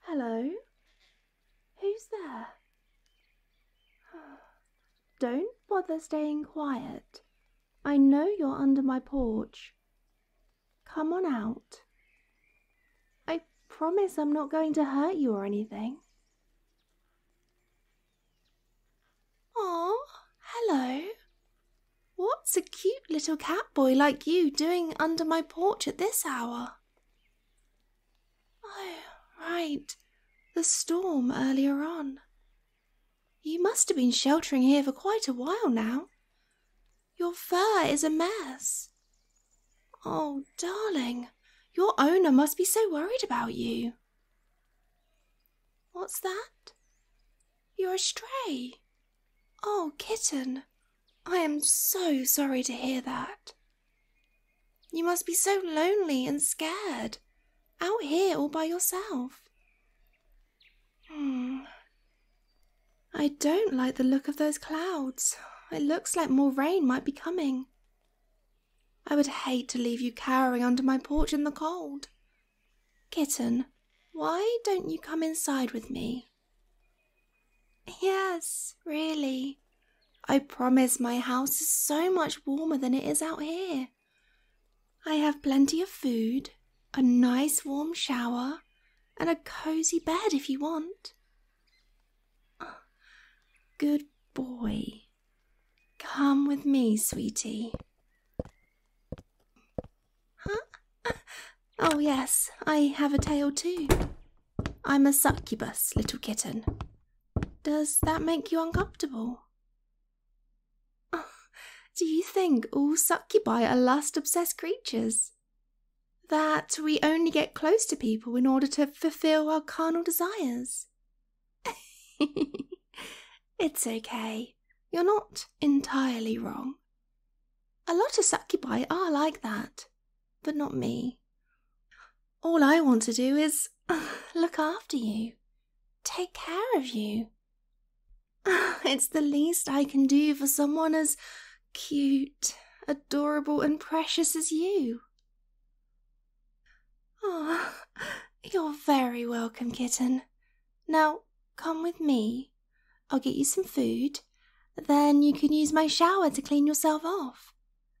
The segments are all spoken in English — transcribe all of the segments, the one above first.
Hello? Who's there? Don't bother staying quiet. I know you're under my porch. Come on out. I promise I'm not going to hurt you or anything. Oh, hello. What's a cute little cat boy like you doing under my porch at this hour? Oh, right. The storm earlier on. You must have been sheltering here for quite a while now. Your fur is a mess. Oh, darling, your owner must be so worried about you. What's that? You're a stray. Oh, kitten, I am so sorry to hear that. You must be so lonely and scared, out here all by yourself. Hmm. I don't like the look of those clouds. It looks like more rain might be coming. I would hate to leave you cowering under my porch in the cold. Kitten, why don't you come inside with me? Yes, really. I promise my house is so much warmer than it is out here. I have plenty of food, a nice warm shower, and a cozy bed if you want. Good boy. Come with me, sweetie. Oh, yes, I have a tail too. I'm a succubus, little kitten. Does that make you uncomfortable? do you think all succubi are lust obsessed creatures? That we only get close to people in order to fulfill our carnal desires? it's okay you're not entirely wrong. A lot of succubi are like that, but not me. All I want to do is look after you, take care of you. It's the least I can do for someone as cute, adorable, and precious as you. Ah, you're very welcome, kitten. Now, come with me. I'll get you some food. Then you can use my shower to clean yourself off.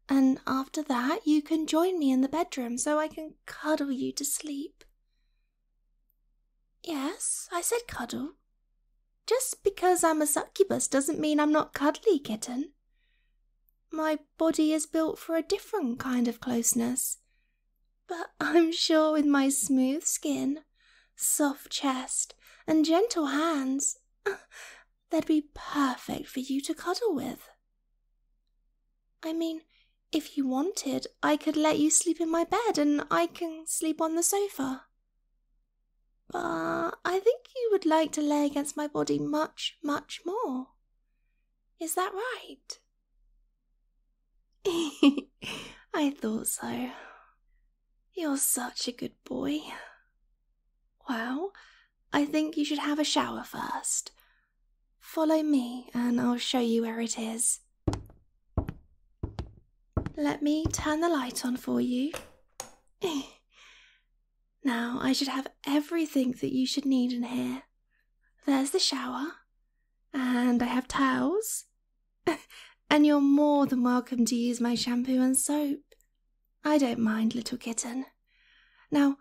And after that, you can join me in the bedroom so I can cuddle you to sleep. Yes, I said cuddle. Just because I'm a succubus doesn't mean I'm not cuddly, kitten. My body is built for a different kind of closeness, but I'm sure with my smooth skin, soft chest, and gentle hands, they'd be perfect for you to cuddle with. I mean, if you wanted, I could let you sleep in my bed and I can sleep on the sofa. But I think you would like to lay against my body much, much more. Is that right? I thought so. You're such a good boy. Well, I think you should have a shower first. Follow me and I'll show you where it is. Let me turn the light on for you. now I should have everything that you should need in here. There's the shower, and I have towels. and you're more than welcome to use my shampoo and soap. I don't mind, little kitten. Now,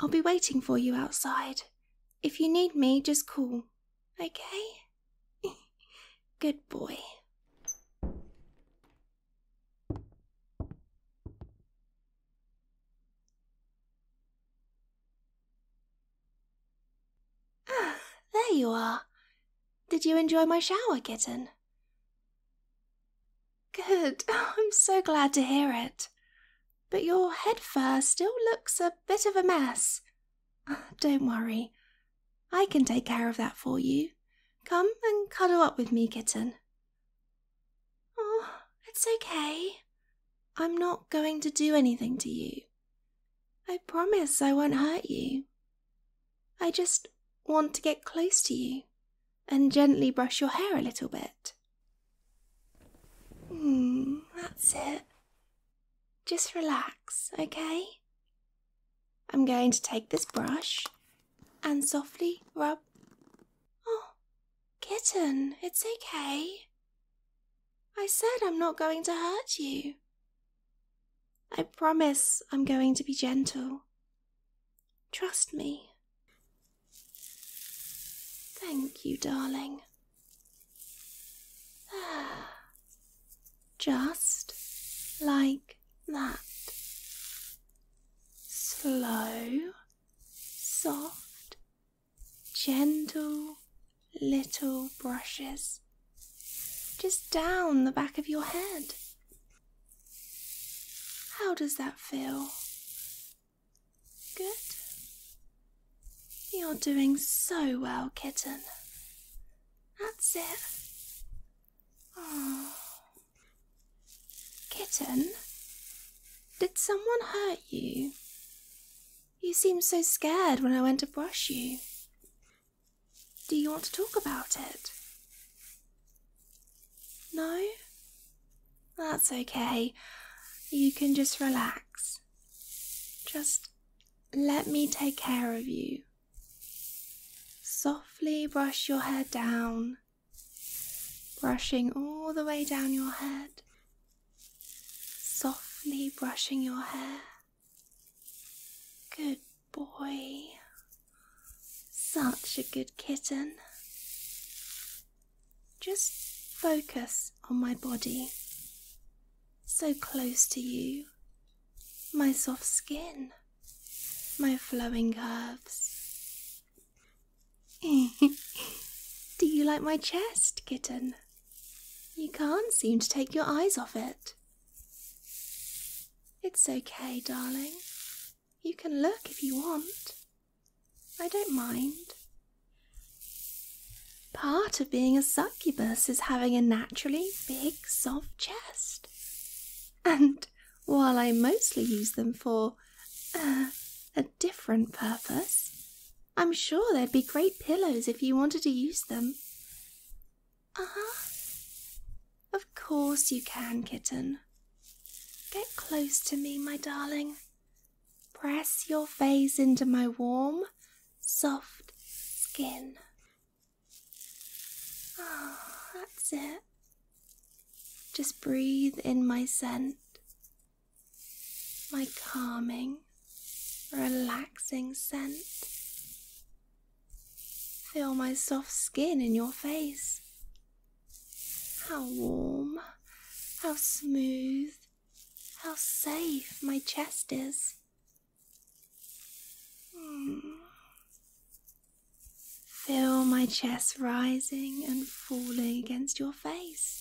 I'll be waiting for you outside. If you need me, just call, okay? Good boy. Ah, there you are. Did you enjoy my shower, kitten? Good, I'm so glad to hear it. But your head fur still looks a bit of a mess. Don't worry, I can take care of that for you. Come and cuddle up with me, kitten. Oh, it's okay. I'm not going to do anything to you. I promise I won't hurt you. I just want to get close to you and gently brush your hair a little bit. Hmm, that's it. Just relax, okay? I'm going to take this brush and softly rub. Oh, kitten, it's okay. I said I'm not going to hurt you. I promise I'm going to be gentle. Trust me. Thank you, darling. There. Just like that. Slow, soft gentle little brushes just down the back of your head. How does that feel? Good. You're doing so well, kitten. That's it. Oh. Kitten, did someone hurt you? You seemed so scared when I went to brush you. Do you want to talk about it? No? That's okay. You can just relax. Just let me take care of you. Softly brush your hair down, brushing all the way down your head softly brushing your hair. Good boy. Such a good kitten. Just focus on my body. So close to you. My soft skin. My flowing curves. Do you like my chest, kitten? You can't seem to take your eyes off it. It's okay, darling. You can look if you want. I don't mind. Part of being a succubus is having a naturally big, soft chest. And while I mostly use them for uh, a different purpose, I'm sure they would be great pillows if you wanted to use them. Ah, Of course you can, kitten. Get close to me, my darling. Press your face into my warm, soft skin. Ah, that's it. Just breathe in my scent, my calming, relaxing scent. Feel my soft skin in your face. How warm, how smooth, how safe my chest is. Hmm. Feel my chest rising and falling against your face.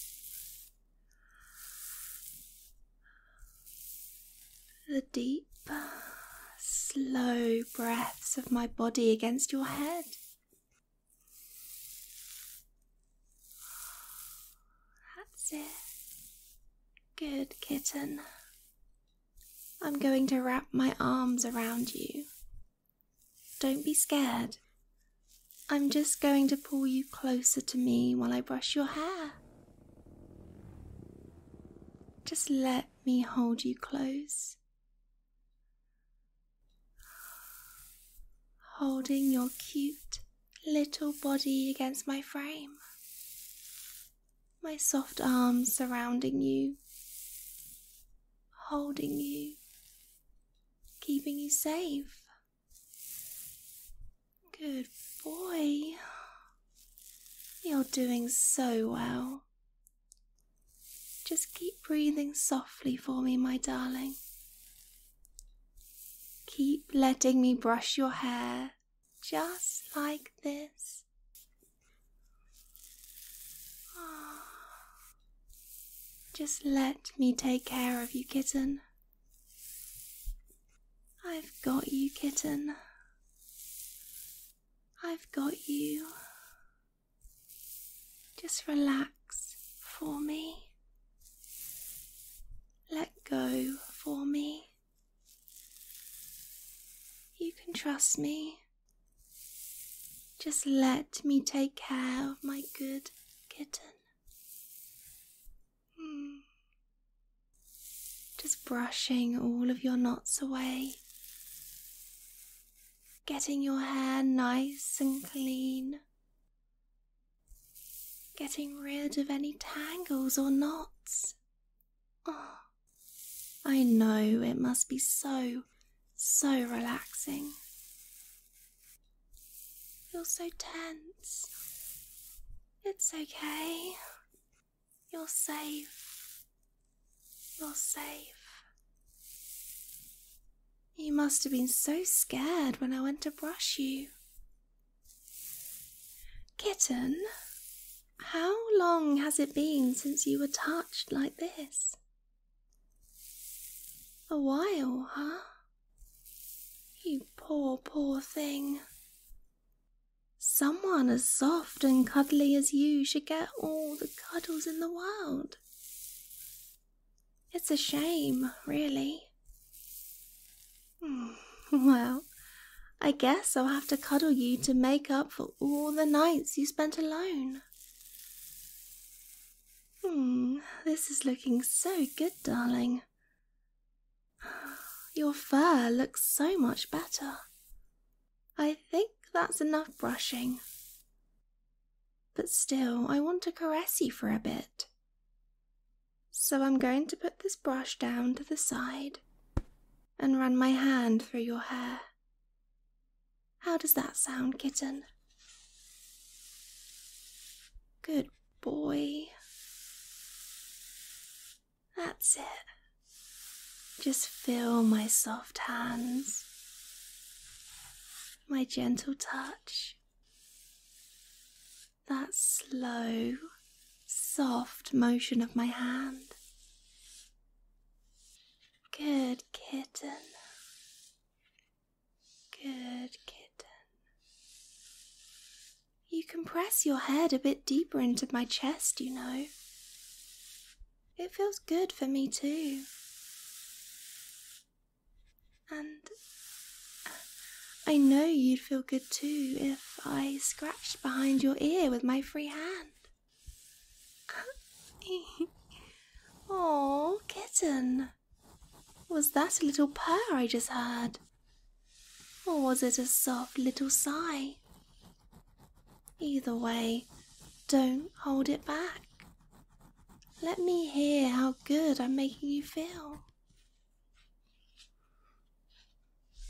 The deep, slow breaths of my body against your head. That's it. Good kitten. I'm going to wrap my arms around you. Don't be scared. I'm just going to pull you closer to me while I brush your hair. Just let me hold you close. Holding your cute little body against my frame, my soft arms surrounding you, holding you, keeping you safe. Good boy. You're doing so well. Just keep breathing softly for me, my darling. Keep letting me brush your hair just like this. Ah. Just let me take care of you, kitten. I've got you, kitten. I've got you. Just relax for me. Let go for me. You can trust me. Just let me take care of my good kitten. Just brushing all of your knots away, getting your hair nice and clean, getting rid of any tangles or knots. Oh, I know it must be so, so relaxing. You're so tense. It's okay. You're safe. You're safe. You must have been so scared when I went to brush you. Kitten, how long has it been since you were touched like this? A while, huh? You poor, poor thing. Someone as soft and cuddly as you should get all the cuddles in the world. It's a shame, really. Hmm, well, I guess I'll have to cuddle you to make up for all the nights you spent alone. Hmm, this is looking so good, darling. Your fur looks so much better. I think that's enough brushing. But still, I want to caress you for a bit. So I'm going to put this brush down to the side and run my hand through your hair. How does that sound, kitten? Good boy. That's it. Just feel my soft hands, my gentle touch, that slow, soft motion of my hand. Good kitten. Good kitten. You can press your head a bit deeper into my chest, you know. It feels good for me, too. And I know you'd feel good too if I scratched behind your ear with my free hand. oh, kitten. Was that a little purr I just heard? Or was it a soft little sigh? Either way, don't hold it back. Let me hear how good I'm making you feel.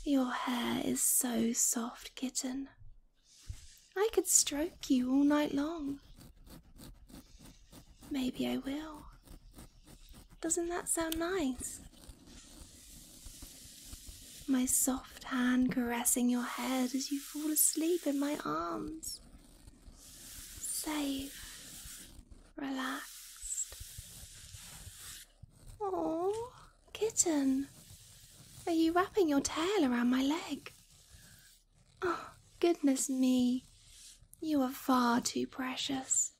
Your hair is so soft, kitten. I could stroke you all night long. Maybe I will. Doesn't that sound nice? My soft hand caressing your head as you fall asleep in my arms. Safe, relaxed. Oh, kitten, are you wrapping your tail around my leg? Oh, goodness me, you are far too precious.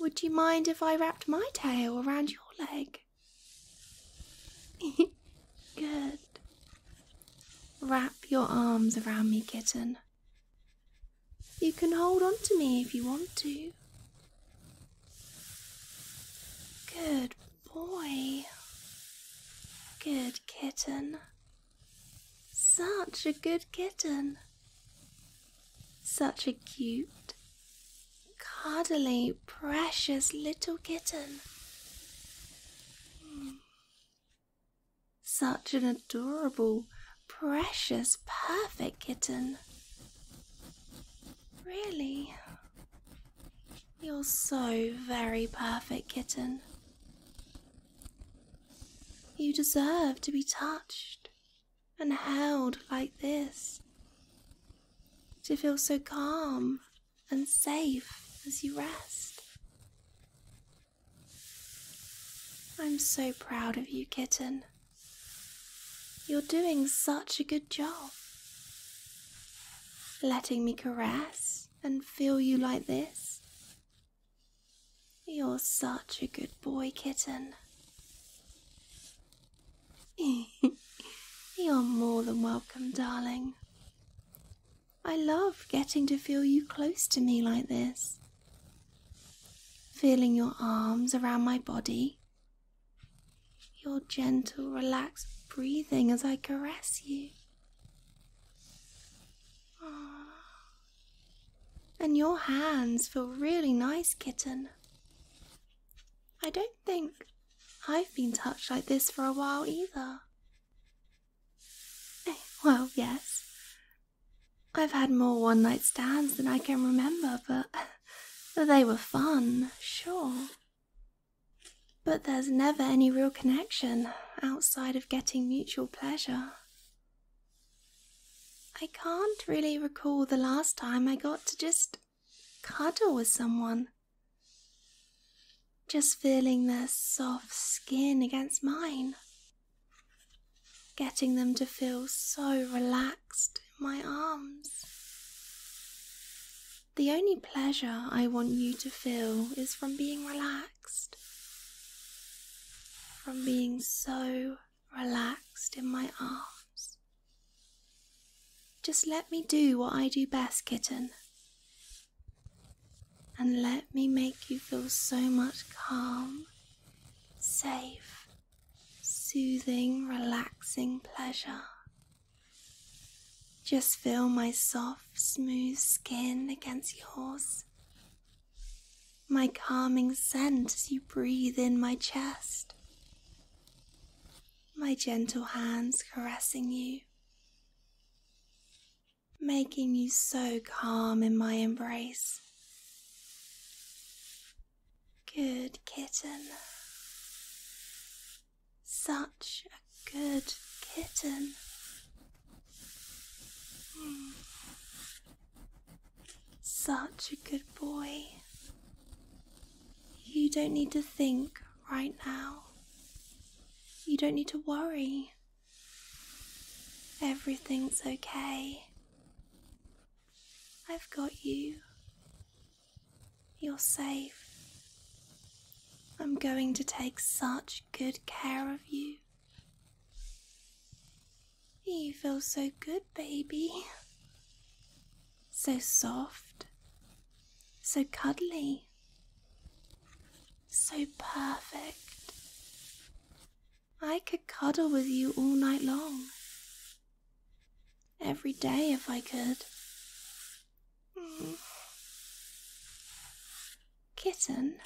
Would you mind if I wrapped my tail around your leg? Good. Wrap your arms around me, kitten. You can hold on to me if you want to. Good boy. Good kitten. Such a good kitten. Such a cute, cuddly, precious little kitten. Hmm. Such an adorable, precious, perfect kitten. Really? You're so very perfect, kitten. You deserve to be touched and held like this to feel so calm and safe as you rest. I'm so proud of you, kitten. You're doing such a good job. Letting me caress and feel you like this. You're such a good boy, kitten. You're more than welcome, darling. I love getting to feel you close to me like this. Feeling your arms around my body, your gentle, relaxed breathing as I caress you. And your hands feel really nice, kitten. I don't think I've been touched like this for a while either. Eh, well, yes. I've had more one night stands than I can remember, but they were fun, sure. But there's never any real connection outside of getting mutual pleasure. I can't really recall the last time I got to just cuddle with someone. Just feeling their soft skin against mine. Getting them to feel so relaxed in my arms. The only pleasure I want you to feel is from being relaxed, from being so relaxed in my arms. Just let me do what I do best, kitten, and let me make you feel so much calm, safe, soothing, relaxing pleasure. Just feel my soft, smooth skin against yours. My calming scent as you breathe in my chest my gentle hands caressing you, making you so calm in my embrace. Good kitten, such a good kitten. Hmm. Such a good boy. You don't need to think right now. You don't need to worry. Everything's okay. I've got you. You're safe. I'm going to take such good care of you. You feel so good, baby. So soft, so cuddly, so perfect. I could cuddle with you all night long, every day if I could. Kitten,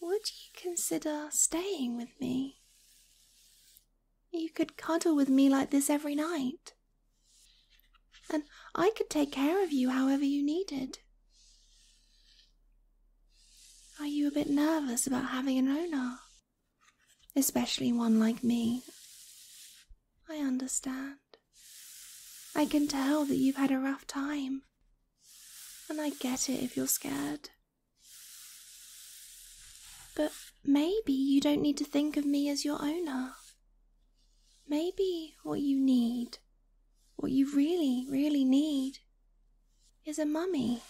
would you consider staying with me? You could cuddle with me like this every night. And I could take care of you however you needed. Are you a bit nervous about having an owner? Especially one like me. I understand. I can tell that you've had a rough time. And I get it if you're scared. But maybe you don't need to think of me as your owner. Maybe what you need, what you really, really need, is a mummy.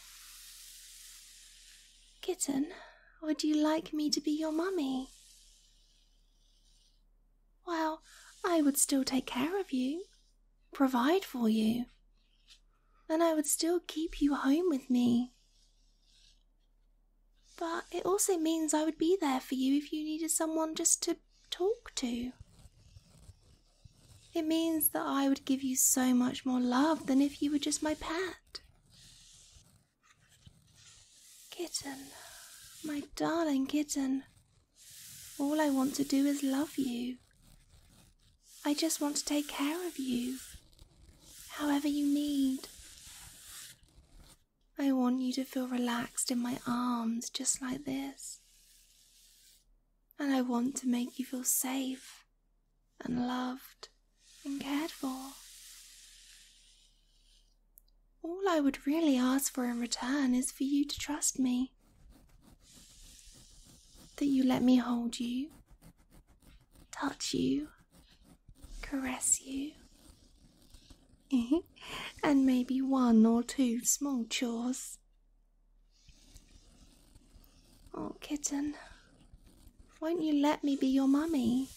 Kitten, would you like me to be your mummy? Well, I would still take care of you, provide for you, and I would still keep you home with me. But it also means I would be there for you if you needed someone just to talk to. It means that I would give you so much more love than if you were just my pet. Kitten, my darling kitten, all I want to do is love you. I just want to take care of you, however you need. I want you to feel relaxed in my arms, just like this. And I want to make you feel safe and loved and cared for. All I would really ask for in return is for you to trust me. That you let me hold you, touch you, caress you, and maybe one or two small chores. Oh, kitten, won't you let me be your mummy?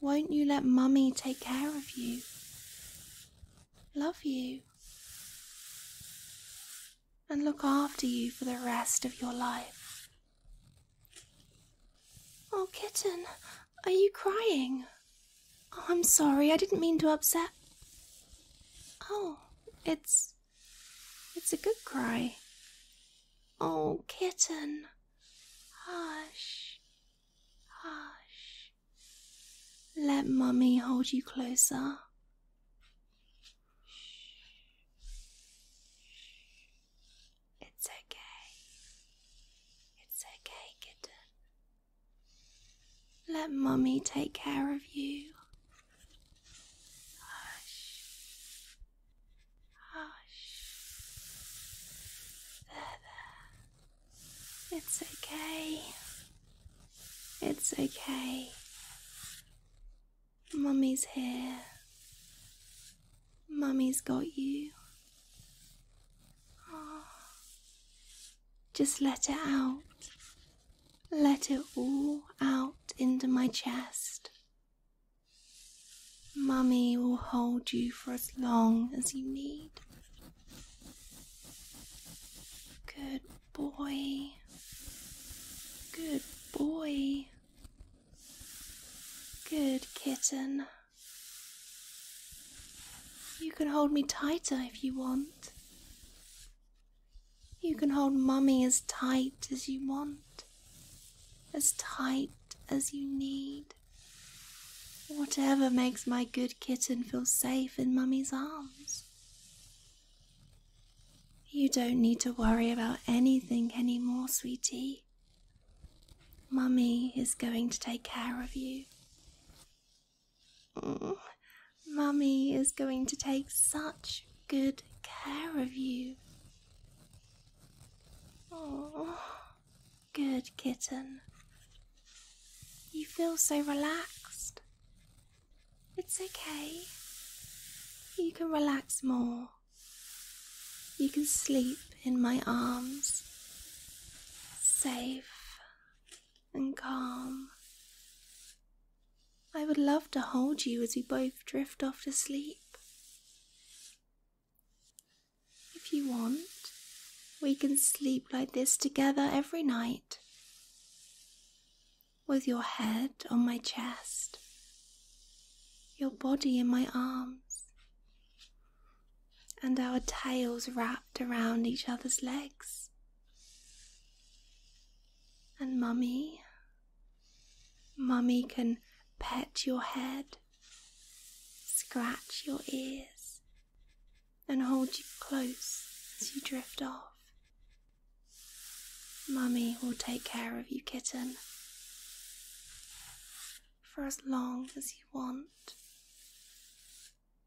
Won't you let mummy take care of you? Love you and look after you for the rest of your life. Oh, kitten, are you crying? Oh, I'm sorry, I didn't mean to upset. Oh, it's. it's a good cry. Oh, kitten, hush, hush. Let mummy hold you closer. It's okay. It's okay, kitten. Let mommy take care of you. Hush. Hush. There, there. It's okay. It's okay. Mummy's here. Mummy's got you. Ah. Just let it out. Let it all out into my chest. Mummy will hold you for as long as you need. Good boy. Good boy. Good kitten. You can hold me tighter if you want. You can hold mummy as tight as you want, as tight as you need. Whatever makes my good kitten feel safe in mummy's arms. You don't need to worry about anything anymore, sweetie. Mummy is going to take care of you. Mm, Mummy is going to take such good care of you. Oh, good kitten. You feel so relaxed. It's okay. You can relax more. You can sleep in my arms, safe and calm. I would love to hold you as we both drift off to sleep. If you want, we can sleep like this together every night, with your head on my chest your body in my arms, and our tails wrapped around each other's legs. And mummy, mummy can pet your head, scratch your ears, and hold you close as you drift off. Mummy will take care of you, kitten, for as long as you want,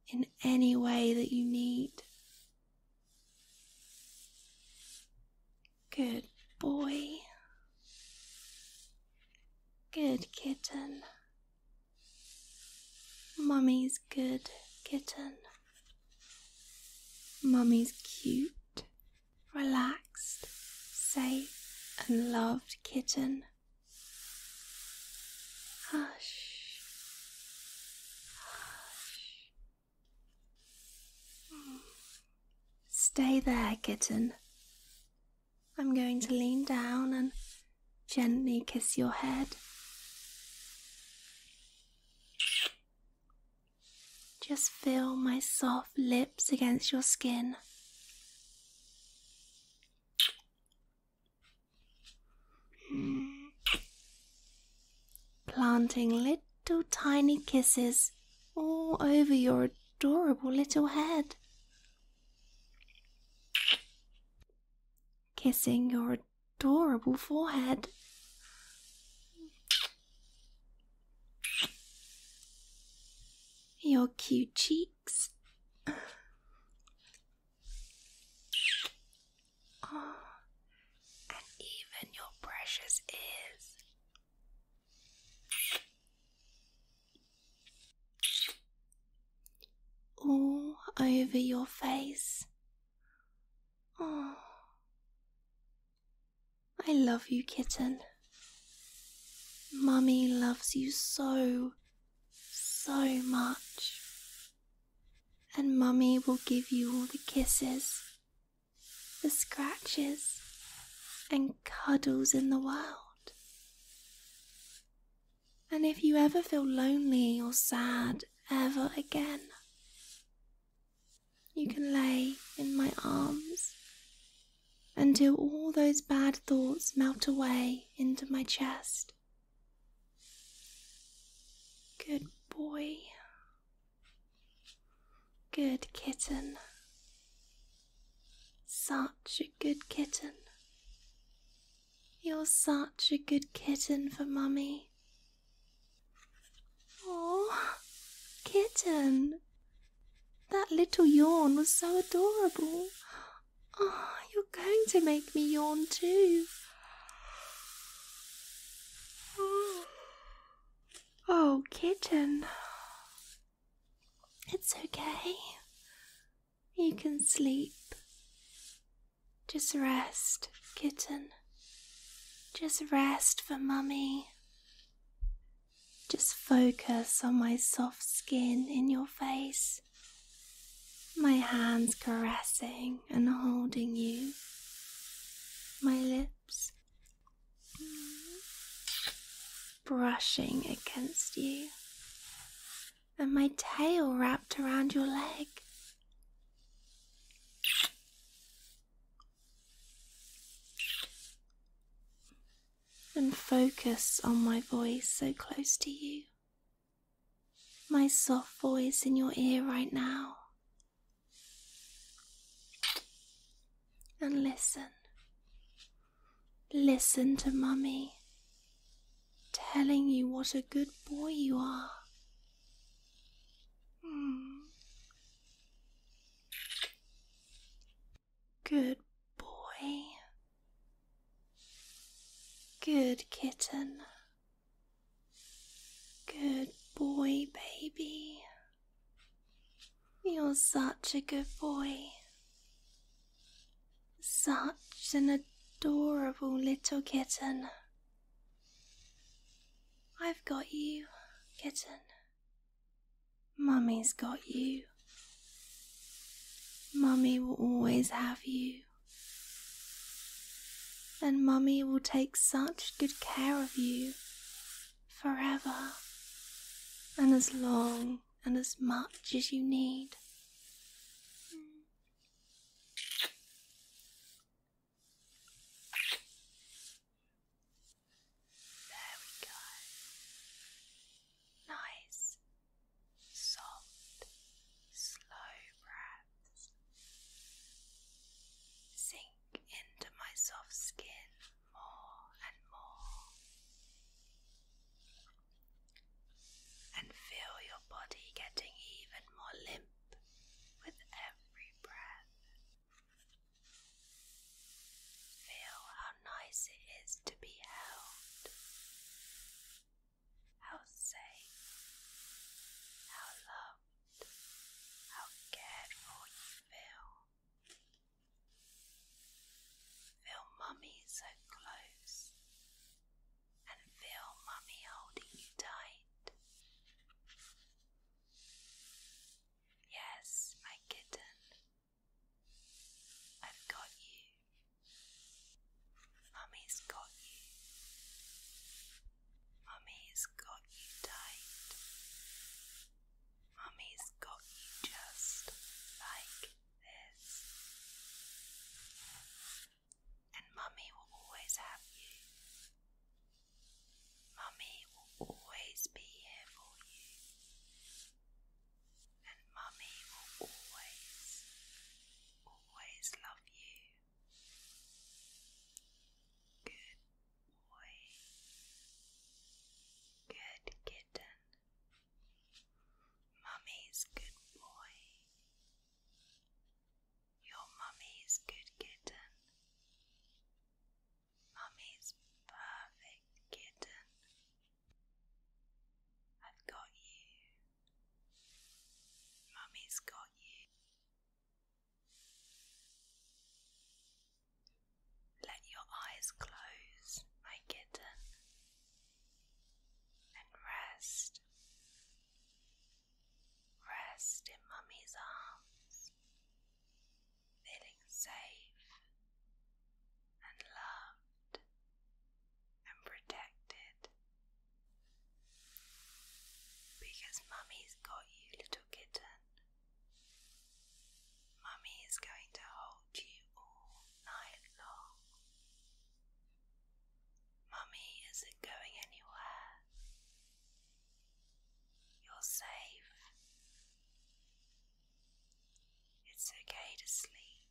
in any way that you need. Good boy. Good kitten. Mummy's good kitten. Mummy's cute relaxed, safe, and loved kitten. Hush, hush. Stay there, kitten. I'm going to lean down and gently kiss your head. Just feel my soft lips against your skin. Planting little tiny kisses all over your adorable little head. Kissing your adorable forehead. Your cute cheeks. Oh, and even your precious ears. All over your face. Oh, I love you, kitten. Mummy loves you so, so much. And Mummy will give you all the kisses, the scratches, and cuddles in the world. And if you ever feel lonely or sad ever again, you can lay in my arms until all those bad thoughts melt away into my chest. Good boy. Good kitten. Such a good kitten. You're such a good kitten for mummy. Oh, kitten, that little yawn was so adorable. Oh, you're going to make me yawn too. Oh, kitten. It's okay. You can sleep. Just rest, kitten. Just rest for mummy. Just focus on my soft skin in your face, my hands caressing and holding you, my lips brushing against you, and my tail wrapped around your leg. And focus on my voice so close to you. My soft voice in your ear right now. And listen. Listen to Mummy telling you what a good boy you are. Hmm. Good boy. Good kitten. Good boy, baby. You're such a good boy. Such an adorable little kitten. I've got you, kitten. Mummy's got you. Mummy will always have you. And Mummy will take such good care of you forever and as long and as much as you need. There we go. Nice, soft, slow breaths. Sink into my soft skin more and more. And feel your body getting even more limp with every breath. Feel how nice it is to be held, how safe, how loved, how cared for you feel. Feel mummy so close, and feel mummy holding you tight. Yes, my kitten, I've got you. Mummy's got you. Mummy's got you tight. Mummy's got you just like this. And Mummy will always have you. Mummy will always be here for you and Mummy will always, always love you. Good boy. Good kitten. Mummy's good boy. Your mummy's good kitten. Mummy's perfect kitten. I've got you. Mummy's got you. Let your eyes close, my kitten, and rest. Rest in Mummy's arms feeling safe and loved and protected. Because Mummy's got you, little kitten. Mummy is going to hold you all night long. Mummy isn't going anywhere. You're safe. It's okay to sleep.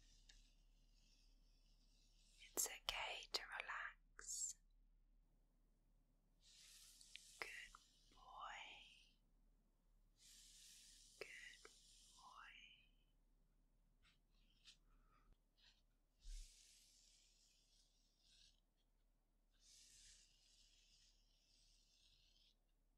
It's okay to relax. Good boy. Good boy.